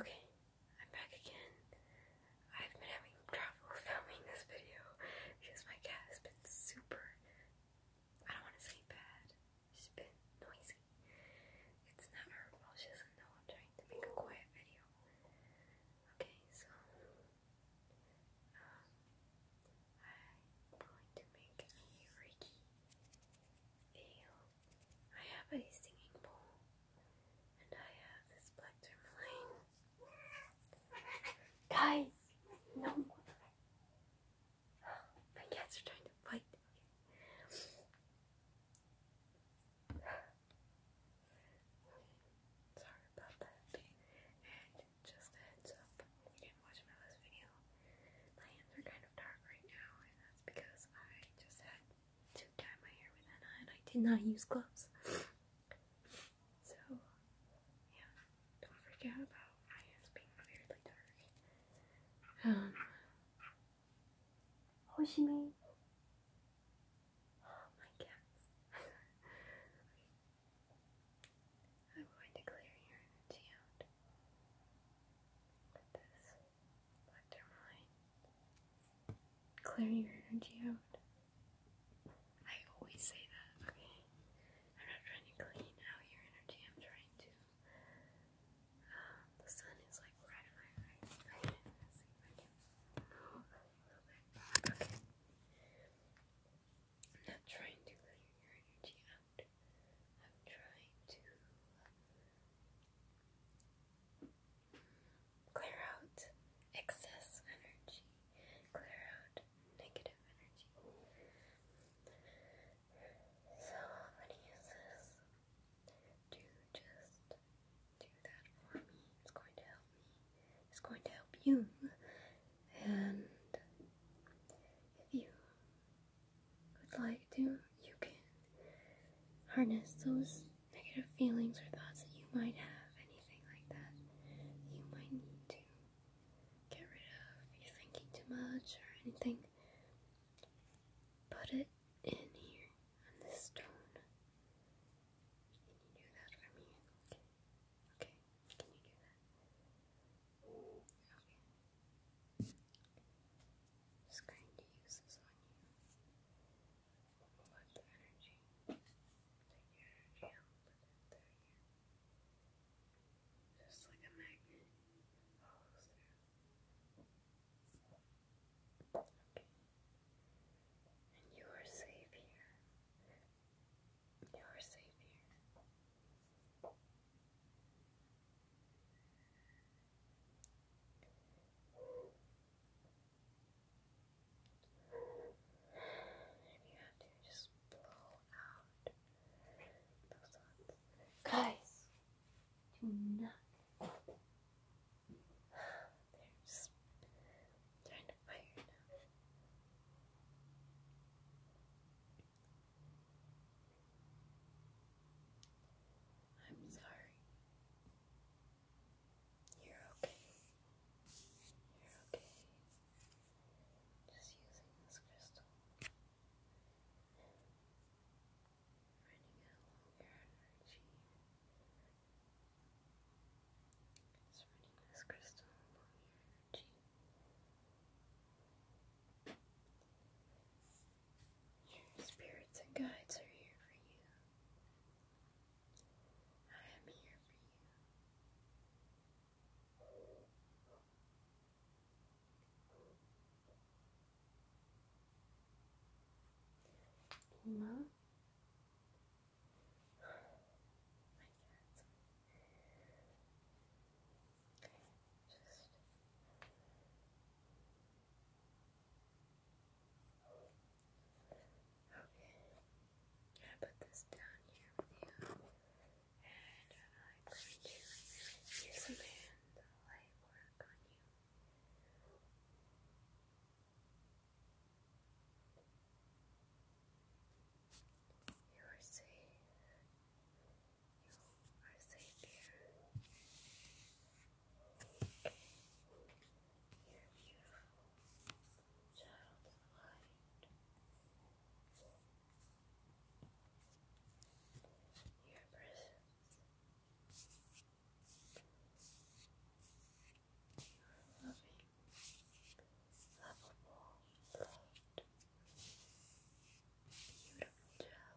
Okay, I'm back again. I've been having trouble filming this video because my cat has been super, I don't want to say bad, she's been noisy. It's not her fault, she doesn't know I'm trying to make a quiet video. Okay, so, um, I'm going to make a Reiki ale I have a singing bowl, and I have this black tourmaline. Guys, no more. My cats are trying to fight. Sorry about that. And just a heads up, if you didn't watch my last video, my hands are kind of dark right now, uh, because I just had to dye my hair with henna and I did not use gloves. so, yeah, don't forget about my hands being weirdly dark. Um, Hoshimi. Oh, my cats. I'm going to clear your energy with this. Clear your energy out. I always say that, okay? I'm not trying to clean out your energy, I'm trying to. Um, the sun is like right in my eyes. Okay. I'm not trying to clear your energy out. I'm trying to clear out excess energy, clear out negative energy. So I'm going to use this to just do that for me. It's going to help me. It's going to help you. And if you would like to, you can harness those negative feelings or thoughts that you might have, anything like that. You might need to get rid of. You're thinking too much or anything. Put it in here on this stone. Can you do that for me? Okay. Okay. Can you do that? Okay. Just going to use this on you. Let the energy, your energy out, put it there. Just like a magnet follows through. Okay. And you are safe here. You are safe here. And you have to just blow out those ones. Guys, do not. They're just trying to fire now. I'm sorry. You're okay. You're okay. Just using this crystal. Running it along your energy. Just this crystal along your energy. Your spirits and guides are here for you. I am here for you. Mom? My cats. Just Okay. I put this down here with you. And I'm going to use some hand light work on you. You are safe. You are safe. You are Your beautiful child's light. Your presence. Your loving, lovable, loved. You beautiful child's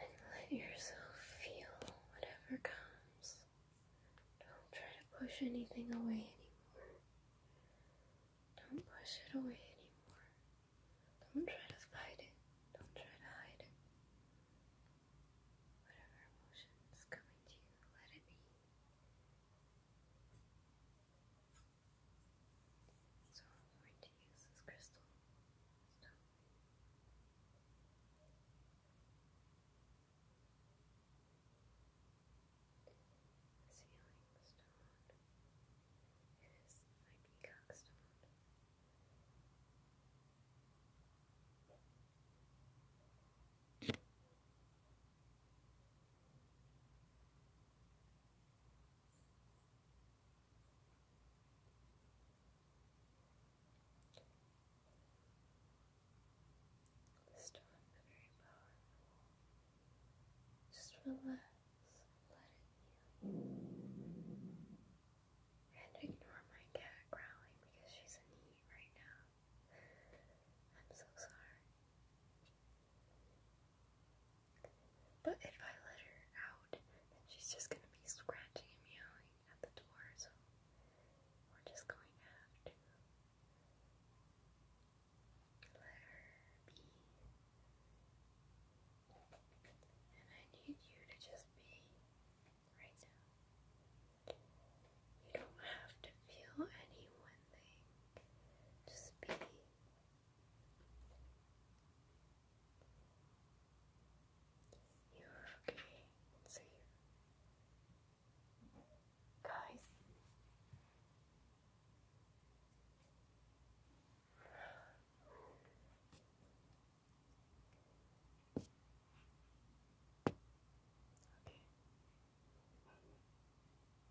And let yourself feel whatever comes. Don't try to push anything away anymore. Don't push it away anymore. Don't try to fight it. Don't try to hide it. Whatever emotion is to you, let it be. So I'm going to use this crystal healing stone. It is my peacock the very powerful. Just relax, let you. And ignore my cat growling because she's in heat right now. I'm so sorry. But if I let her out, then she's just gonna be scratching and meowing at the door, so we're just going to have to let her be. And I need you to just be right now. You don't have to feel any one thing. Just be you're okay. So you guys Okay.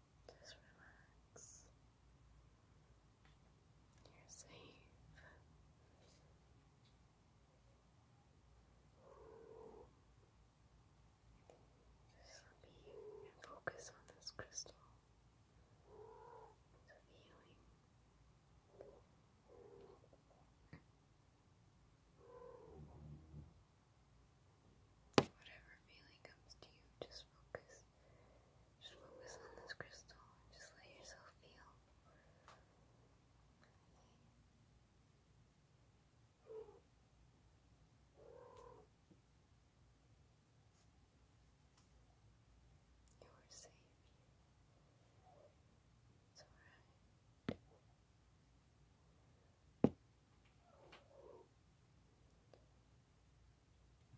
Just relax. You're safe. Just be and focus on this crystal. The feeling. Whatever feeling comes to you, just focus just focus on this crystal just let yourself feel. You are safe. It's alright. Surround you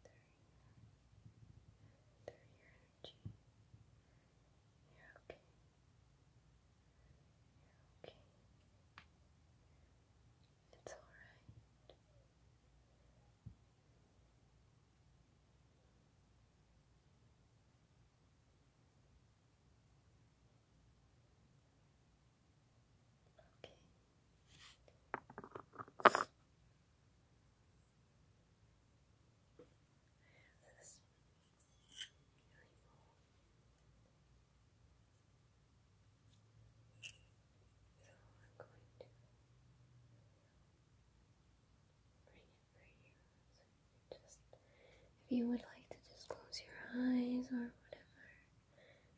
through, energy. you okay. you okay. It's alright. Okay. so I'm going to bring it right you just, if you would like to just close your eyes or whatever, you lay down.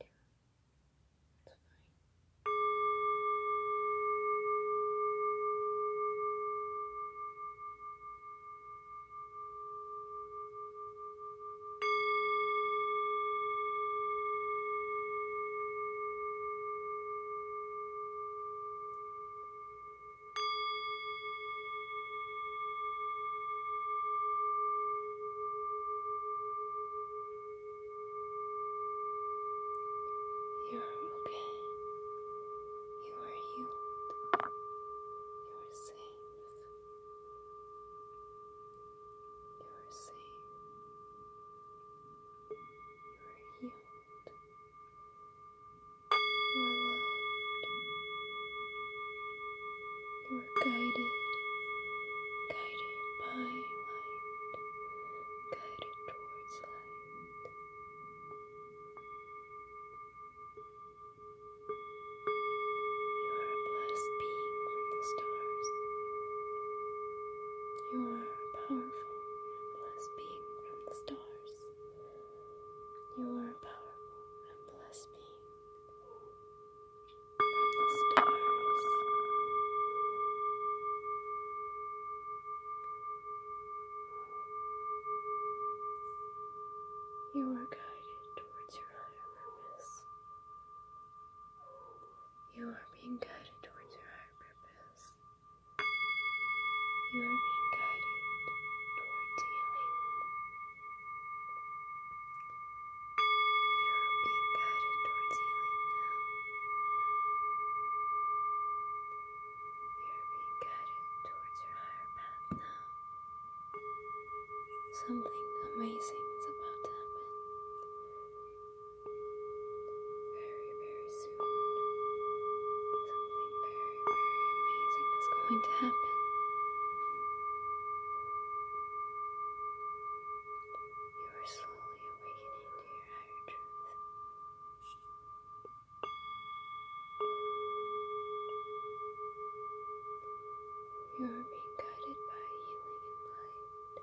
It's fine. You're okay. You are healed. You are safe. You are safe. You are healed. You are loved. You you are guided, guided by light, guided towards light. You are a blessed being from the stars. You are a powerful blessed being from the stars. You are a powerful blessed being the stars. You were guided towards your higher purpose. You are being guided towards your higher purpose. You are being guided towards healing. You're being guided towards healing now. You're being guided towards your higher path now. Something amazing is about to happen. Very, very soon. Something very amazing is going to happen. You are slowly awakening to your higher truth. You are being guided by healing and light.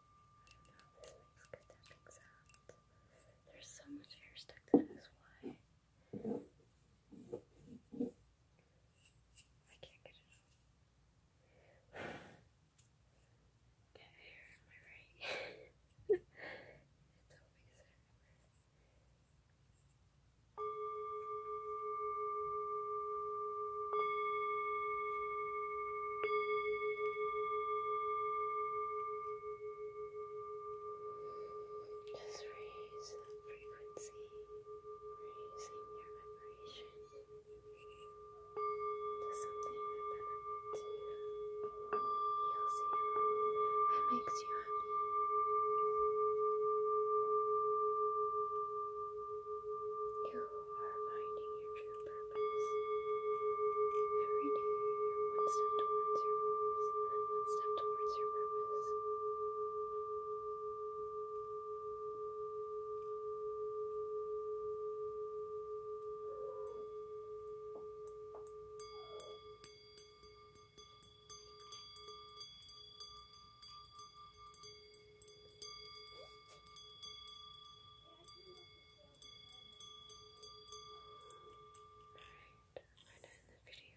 I don't know this makes good tapping There's so much hair stuck to why I can't get it off. Get hair in my right. it's so big as I remember. Just raise that frequency, raising your vibration to something that benefits you, heals you, and makes you happy. You are finding your true purpose. Every day, you're one step towards your goals and one step towards your purpose. Your Alright, find out in the video.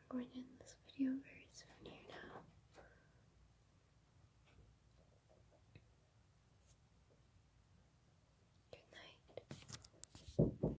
I'm going to end this video very soon here now. Good night.